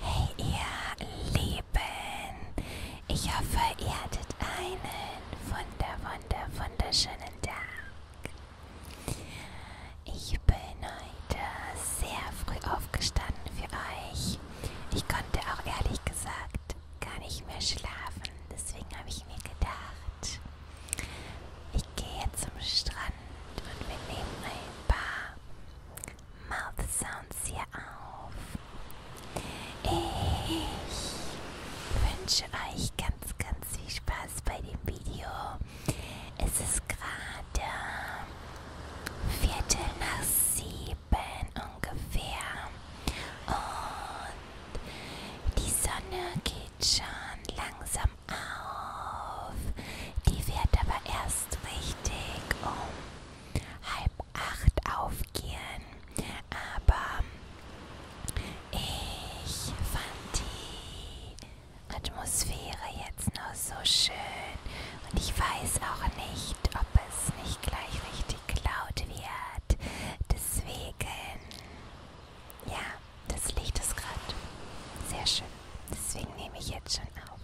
Hey ihr Lieben, ich hoffe ihr hattet einen wunder, wunder, wunderschönen Tag. Ich bin heute sehr früh aufgestanden für euch. Ich konnte auch ehrlich gesagt gar nicht mehr schlafen, deswegen habe ich mir gedacht, ich gehe zum Strand und wir nehmen ein paar Mouth Sounds hier auf. Ich wünsche euch ganz, ganz viel Spaß bei dem Video. Es ist gerade Viertel nach sieben ungefähr. Und die Sonne geht schon langsam auf. Die wird aber erst richtig um halb acht aufgehen, aber ich fand die Atmosphäre jetzt noch so schön und ich weiß auch nicht, ob es nicht gleich richtig laut wird. Deswegen, ja, das Licht ist gerade sehr schön. Deswegen nehme ich jetzt schon auf.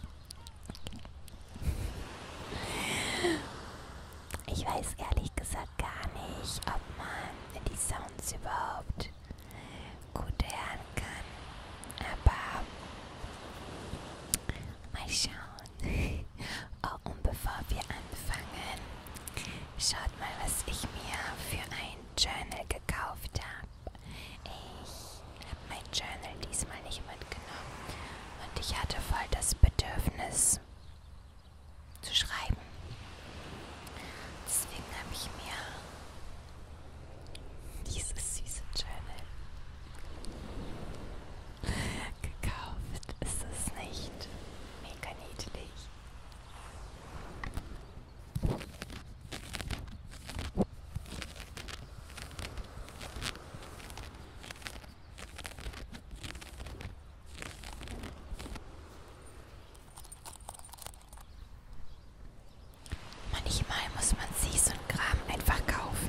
Ich weiß ehrlich gesagt gar nicht, ob man die Sounds überhaupt gut hören kann. Aber mal schauen. Oh, und bevor wir anfangen, schaut mal, was ich mir für ein Journal gekauft habe habe ich mein Journal diesmal nicht mitgenommen und ich hatte voll das Bedürfnis zu schreiben. Deswegen habe ich mir dieses süße Journal gekauft. Ist es nicht mega niedlich? Manchmal muss man sich so einen Kram einfach kaufen.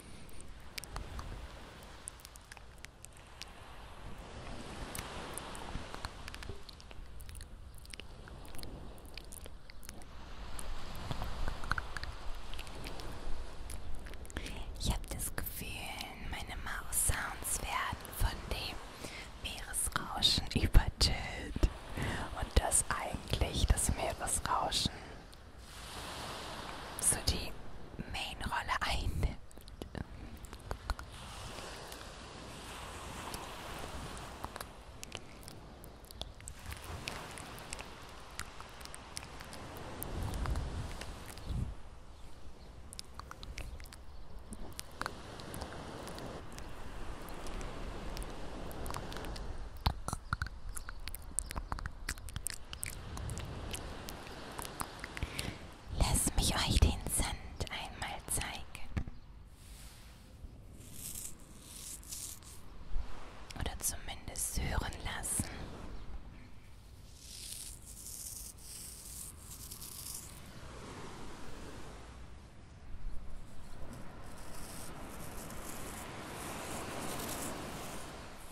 Ich habe das Gefühl, meine Maus-Sounds werden von dem Meeresrauschen übertönt und das eigentlich das Meeresrauschen so die Main-Rolle einnimmt. Lass mich euch den Sand einmal zeigen. Oder zumindest hören lassen.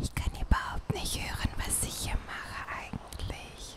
Ich kann überhaupt nicht hören, was ich hier mache eigentlich.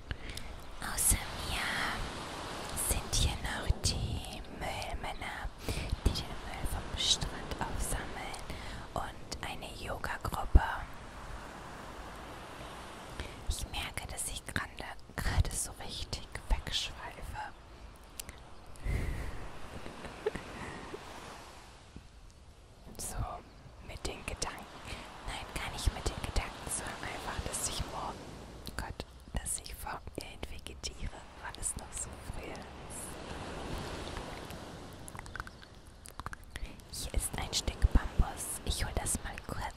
Außer mir sind hier noch die Müllmänner, die den Müll vom Strand aufsammeln und eine Yoga-Gruppe. Ich merke, dass ich gerade so richtig wegschweife. So, mit den Gedanken. Nein, gar nicht mit den Gedanken, sondern einfach, dass ich morgen, oh Gott, dass ich vor mir hin vegetiere, weil es noch so früh ist. Hier ist ein Stück Bambus. Ich hole das mal kurz.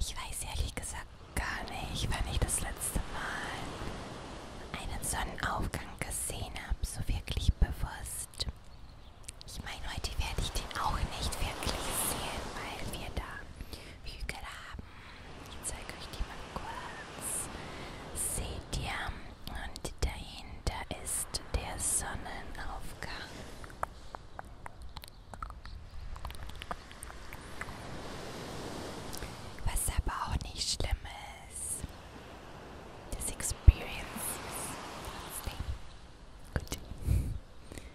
Ich weiß ehrlich gesagt gar nicht, wann ich das letzte Mal einen Sonnenaufgang gesehen habe, so wirklich bewusst. Ich meine, heute werde ich den auch nicht wirklich sehen, weil wir da Hügel haben ich zeige euch die mal kurz. Seht ihr? Und dahinter ist der Sonnenaufgang. Was aber auch nicht schlimm ist. Das Experience ist trotzdem gut.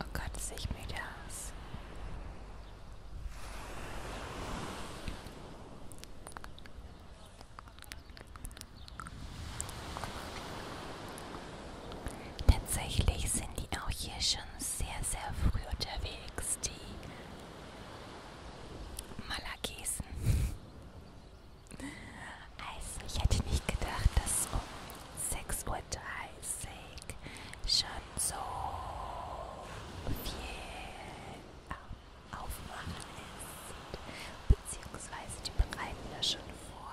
Oh Gott, sehe ich müde aus. Tatsächlich sind die auch hier schon sehr, sehr früh unterwegs, die Malagesen. Also, ich hätte nicht gedacht, dass um 6.30 Uhr schon so viel Aufmachen ist. Beziehungsweise die bereiten das schon vor.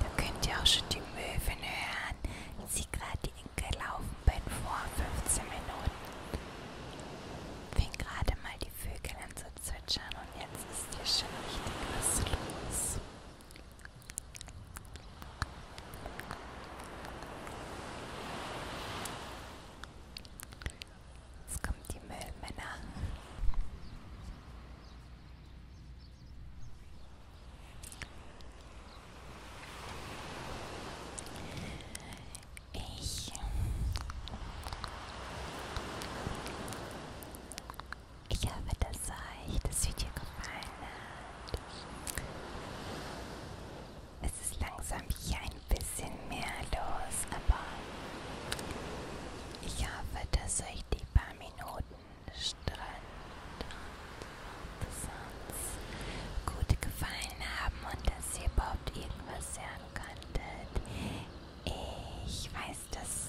Da könnt ihr auch schon die Möwen hören, sie gerade gelaufen bin vor 15 Minuten. Fing gerade mal die Vögel an zu zwitschern und jetzt ist hier schon richtig was los. Jetzt kommen die Müllmänner. Ich, ich hoffe, dass euch das Video gefallen hat. Es ist langsam hier ein bisschen viel mehr los, aber ich hoffe, dass euch die paar Minuten Strand und sonst gut gefallen haben und dass ihr überhaupt irgendwas hören konntet. Ich weiß, dass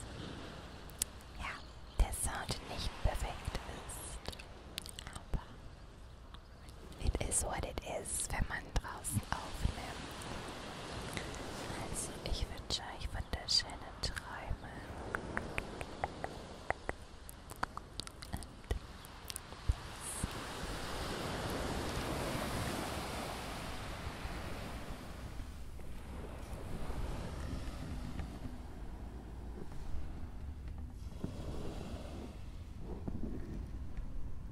ja, der Sound nicht perfekt ist, aber it is what it is, wenn man draußen aufnimmt. Also ich wünsche euch wunderschöne Träume. And